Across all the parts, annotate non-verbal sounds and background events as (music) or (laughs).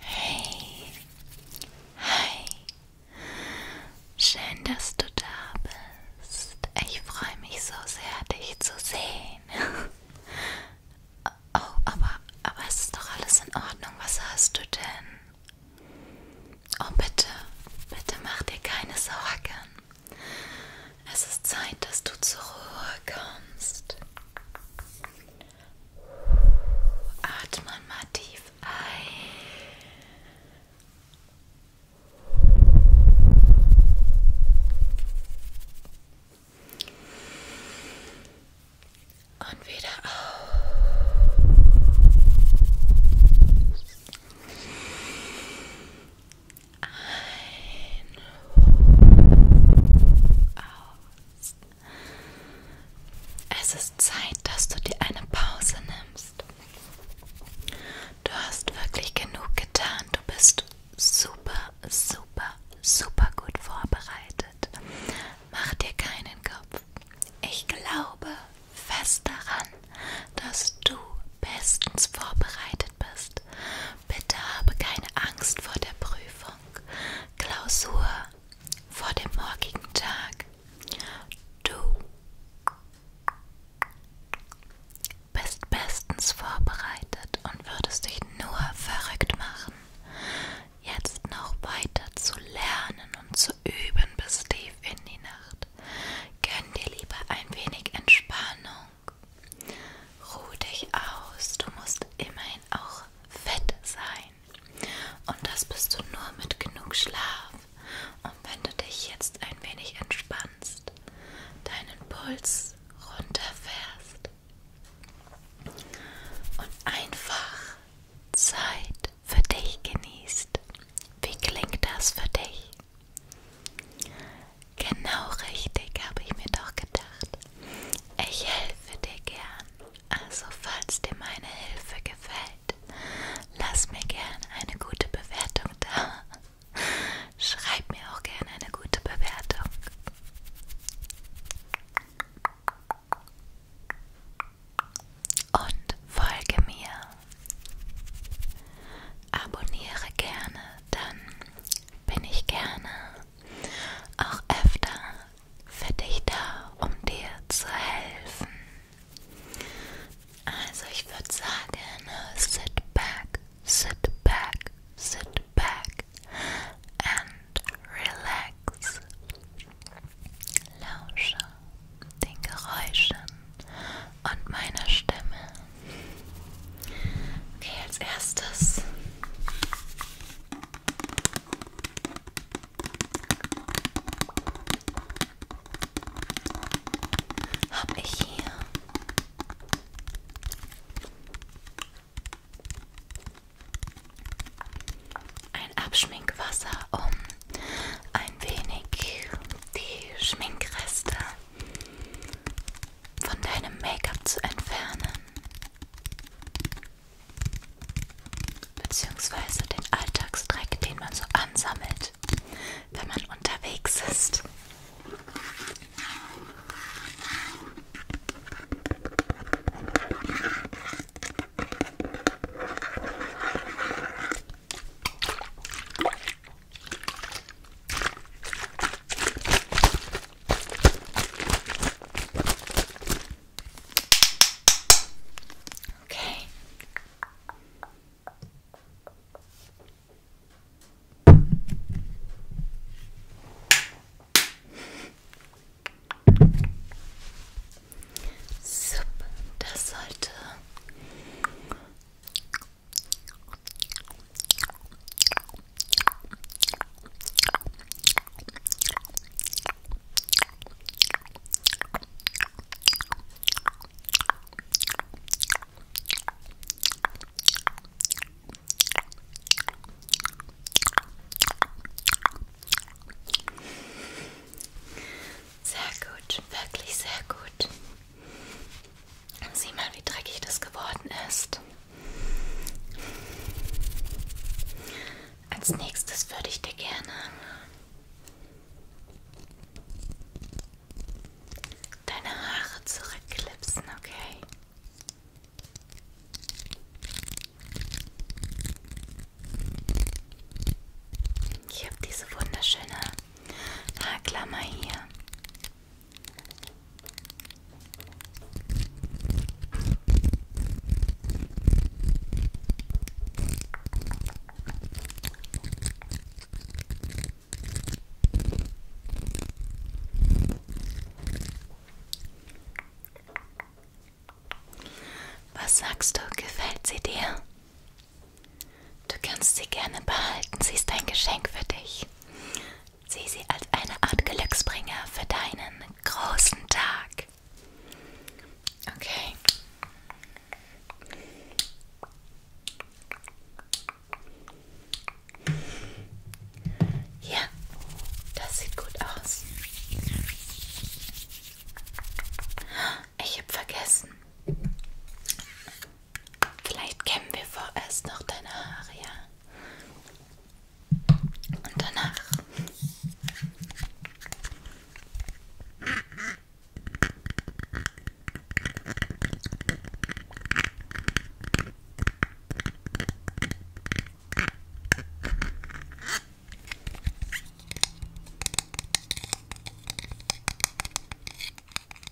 Hey, hi, schön, dass du da bist. Ich freue mich so sehr, dich zu sehen. (laughs) oh, aber, aber es ist doch alles in Ordnung. Was hast du denn? Oh, bitte, bitte mach dir keine Sorgen. Es ist Zeit, dass du zur Ruhe kommst. Atme mal tief ein. Und wieder aus. Ein, aus. Es ist Zeit, dass du dir eine Pause nimmst. Du hast wirklich genug getan. Du bist super, super, super gut vorbereitet. Mach dir keinen Kopf. Ich glaube fest daran, dass du bestens vorbereitet bist. Bitte habe keine Angst vor der Prüfung, Klausur, vor dem morgigen Tag. Du bist bestens vorbereitet und würdest dich nur verrückt machen. Jetzt noch weiter zu lernen und zu üben bis tief in die Nacht. Gönn dir lieber ein wenig Entspannung. Ruh dich aus. Du musst immerhin auch fett sein. Und das bist du nur mit genug Schlaf. Und wenn du dich jetzt ein wenig entspannst, deinen Puls runterfährst und einfach Zeit für dich genießt. Wie klingt das für dich? Genau richtig, habe ich mir doch gedacht. Ich helfe dir gern. Also falls dir meine Hilfe gefällt, lass mir gern eine gute Bewertung da. Schreib mir auch gern eine gute Bewertung. Und folge mir Abonniere gerne, dann bin ich gerne auch öfter für dich da, um dir zu helfen. Also ich würde sagen, ne, sit back, sit back, sit back and relax. Lausche den Geräuschen und meiner Stimme. Okay, als erstes habe ich hier ein Abschminkwasser, um ein wenig die Schminkreste von deinem Make-up zu entfernen, beziehungsweise den Alltagsdreck, den man so ansammelt, wenn man unterwegs ist. Okay. Super, das sollte Sehr gut, wirklich sehr gut. Sieh mal, wie dreckig das geworden ist. Als nächstes würde ich dir gerne deine Haare zurückklipsen, okay? Ich habe diese wunderschöne Haarklammer hier. Was sagst du, gefällt sie dir? Du kannst sie gerne behalten, sie ist ein Geschenk für dich. Sieh sie als eine Art Glücksbringer für deinen großen Tag. Okay. Ja, das sieht gut aus. Ich habe vergessen. Vielleicht kämmen wir vorerst noch deine Haare, ja? Und danach.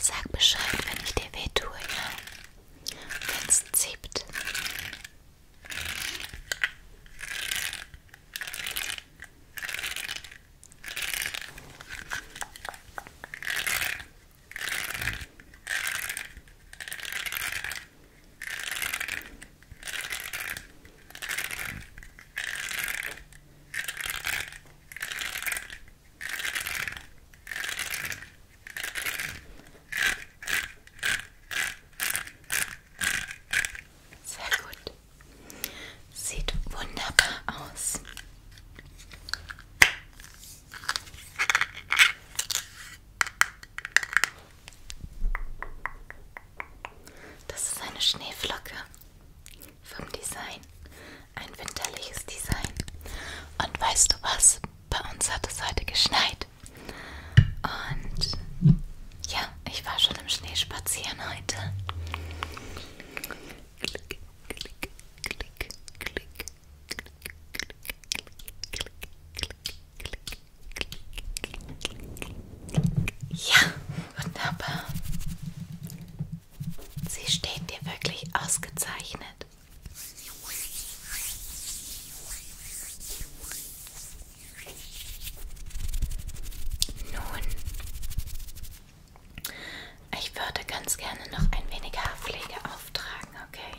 Sag Bescheid, wenn ich dir weh tue, ja? Wenn's zieht. Sehr gut. Sieht wunderbar aus. Das ist eine Schneeflocke vom Design. Ein winterliches Design. Und weißt du was? Bei uns hat es heute geschneit. Und ja, ich war schon im Schnee spazieren heute. Klick, klick, klick, klick. Ja, wunderbar. Sie steht dir wirklich ausgezeichnet. Nun, ich würde ganz gerne noch ein wenig Haarpflege auftragen, okay?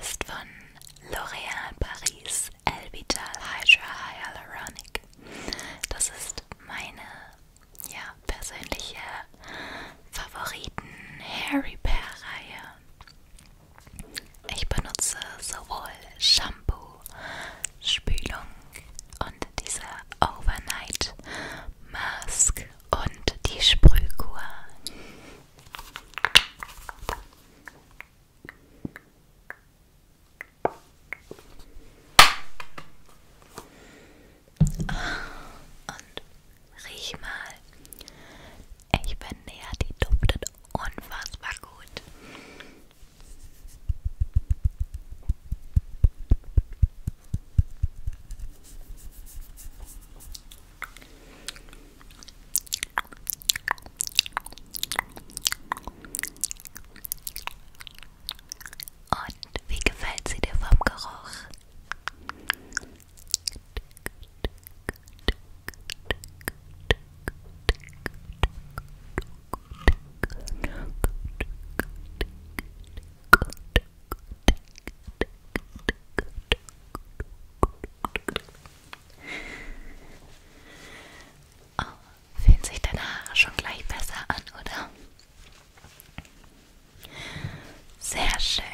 ist von L'Oréal Paris Elvital Hydra Hyaluronic. Das ist meine ja, persönliche Favoriten-Hair Repair-Reihe. Ich benutze sowohl Shampoo, Spülung und diese Overnight Mask und die Sprühkur. Und riech mal. Ich bin näher, die duftet unfassbar gut. Und wie gefällt sie dir vom Geruch? Oh, fühlen sich deine Haare schon gleich besser an, oder? Sehr schön.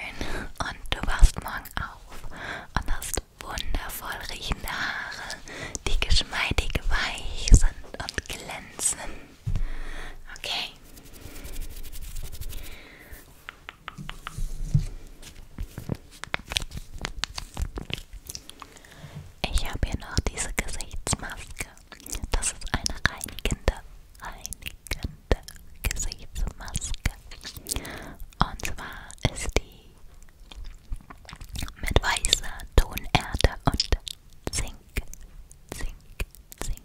Und du wachst morgen auf und hast wundervoll riechende Haare, die geschmeidig weich sind und glänzen. Okay. Ich habe hier noch diese Gesichtsmaske. Das ist eine reinigende, reinigende Gesichtsmaske. Und zwar ist die mit weißer Tonerde und Zink, Zink, Zink,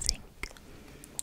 Zink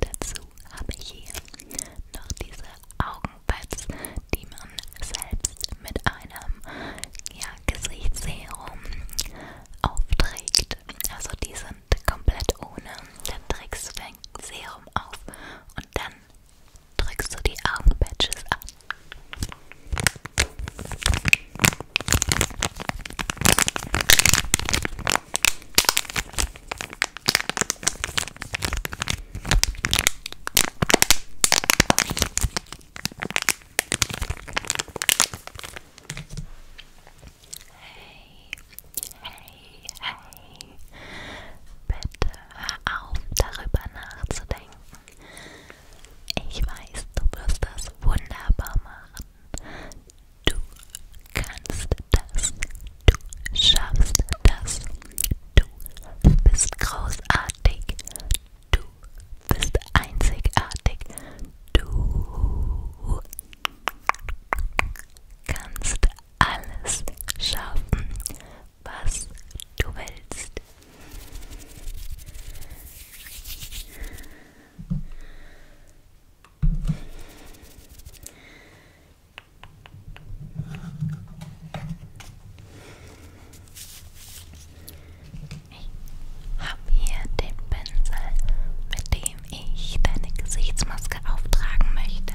Dazu habe ich hier noch diese Augenpads, die man selbst mit einem ja, Gesichtsserum aufträgt. Also die sind komplett ohne. Dann trägst du dein Serum auf und dann drückst du die Augenpatches an. Hey, Hey, hey, bitte hör auf, darüber nachzudenken. Ich weiß, du wirst das wunderbar machen. Du kannst das. Du schaffst das. Du bist großartig. Du bist einzigartig. Du kannst alles schaffen, was du willst. Ich habe hier den Pinsel, mit dem ich deine Gesichtsmaske auftragen möchte.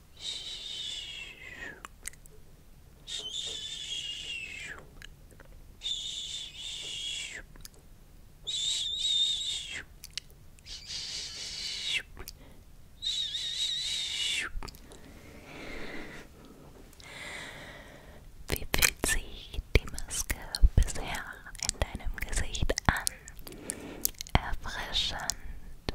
Wie fühlt sich die Maske bisher in deinem Gesicht an? Erfrischend,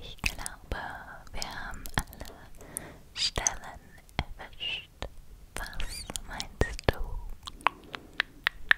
Ich glaube, wir haben alle Stellen erwischt. Was meinst du?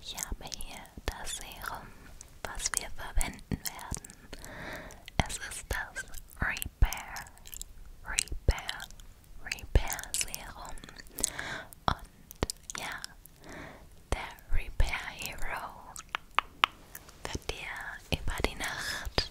Ich habe hier das Serum, was wir verwenden werden. Es ist das Repair, Repair, Repair Serum. Und ja, der Repair Hero wird dir über die Nacht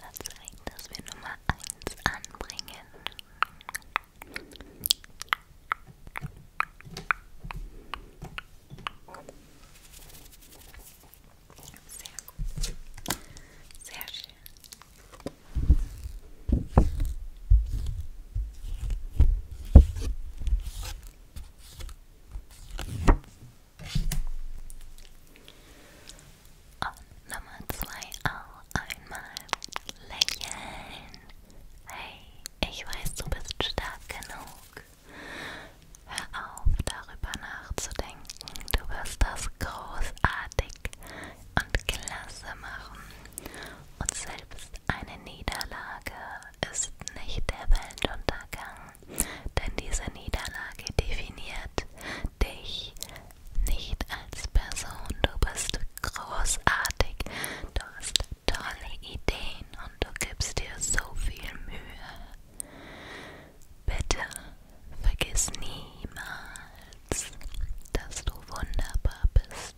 Erstmal zeigen, dass wir Nummer eins anbringen. Sehr Nummer oh, zwei auch oh, einmal lächeln. Hey, ich weiß, du bist stark genug. Hör auf, darüber nachzudenken. Du wirst das großartig und klasse machen. Und selbst eine Niederlage ist nicht der Weltuntergang, denn diese Niederlage definiert dich nicht als Person. Du bist großartig, du hast tolle Ideen und du gibst dir so viel Mühe. Bitte vergiss niemals, dass du wunderbar bist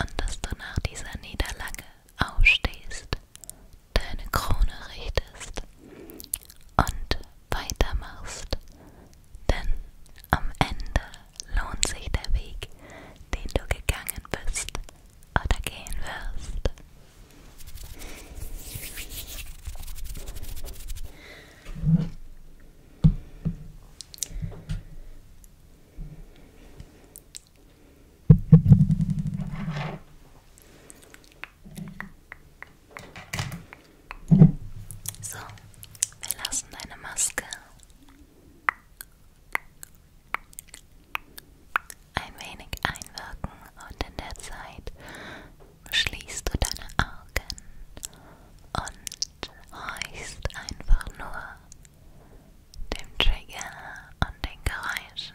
und dass du nach dieser Niederlage aufstehst, deine Krone richtest und weitermachst, denn am Ende lohnt sich der Weg, den du gegangen bist oder gehen wirst. So, wir lassen deine Maske ein wenig einwirken und in der Zeit schließt du deine Augen und horchst einfach nur dem Trigger und den Geräuschen.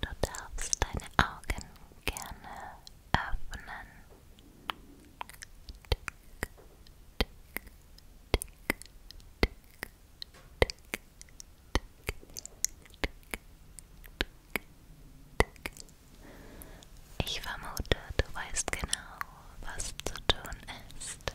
Du darfst deine Augen gerne öffnen. Tick, tick, tick, tick, tick, ich vermute, du weißt genau, was zu tun ist.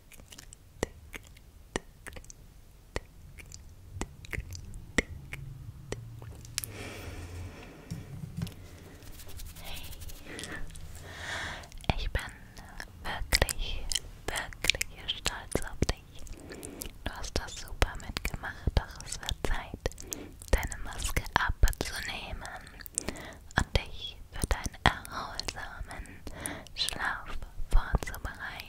Hey, ich bin wirklich, wirklich stolz auf dich. Du hast das super mitgemacht, doch es wird Zeit, deine Maske abzunehmen und dich für deinen erholsamen Schlaf vorzubereiten.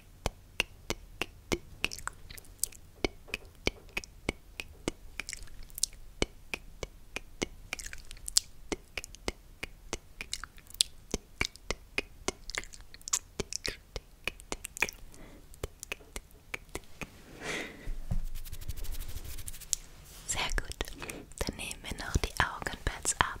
Sehr gut. Dann nehmen wir noch die Augenpads ab.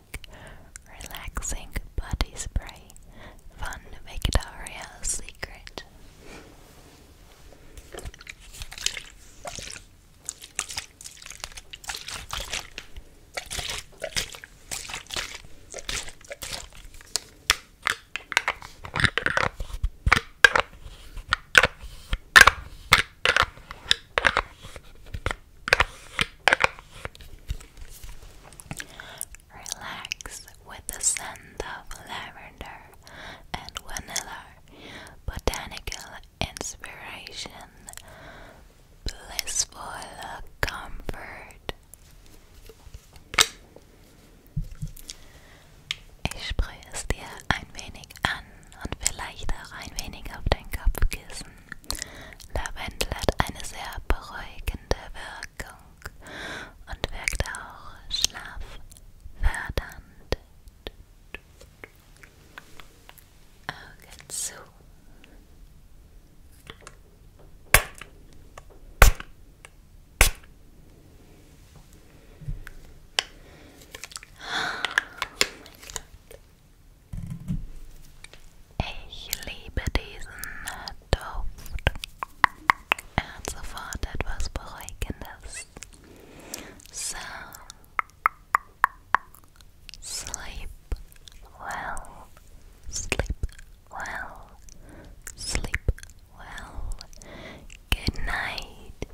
relaxing body spray Fun to make it Victoria's Secret. Relax with the scent of lavender and vanilla, botanical inspiration, blissful comfort. Ich spreche es dir ein wenig an und vielleicht auch ein wenig auf dein Kopfkissen. Lavendel hat eine sehr beruhigende Wirkung und wirkt auch schlaffördernd. Auge zu. Oh mein Gott. Ich liebe diesen Duft. Er hat sofort etwas Beruhigendes. So, sleep well, sleep well, sleep well. Good night.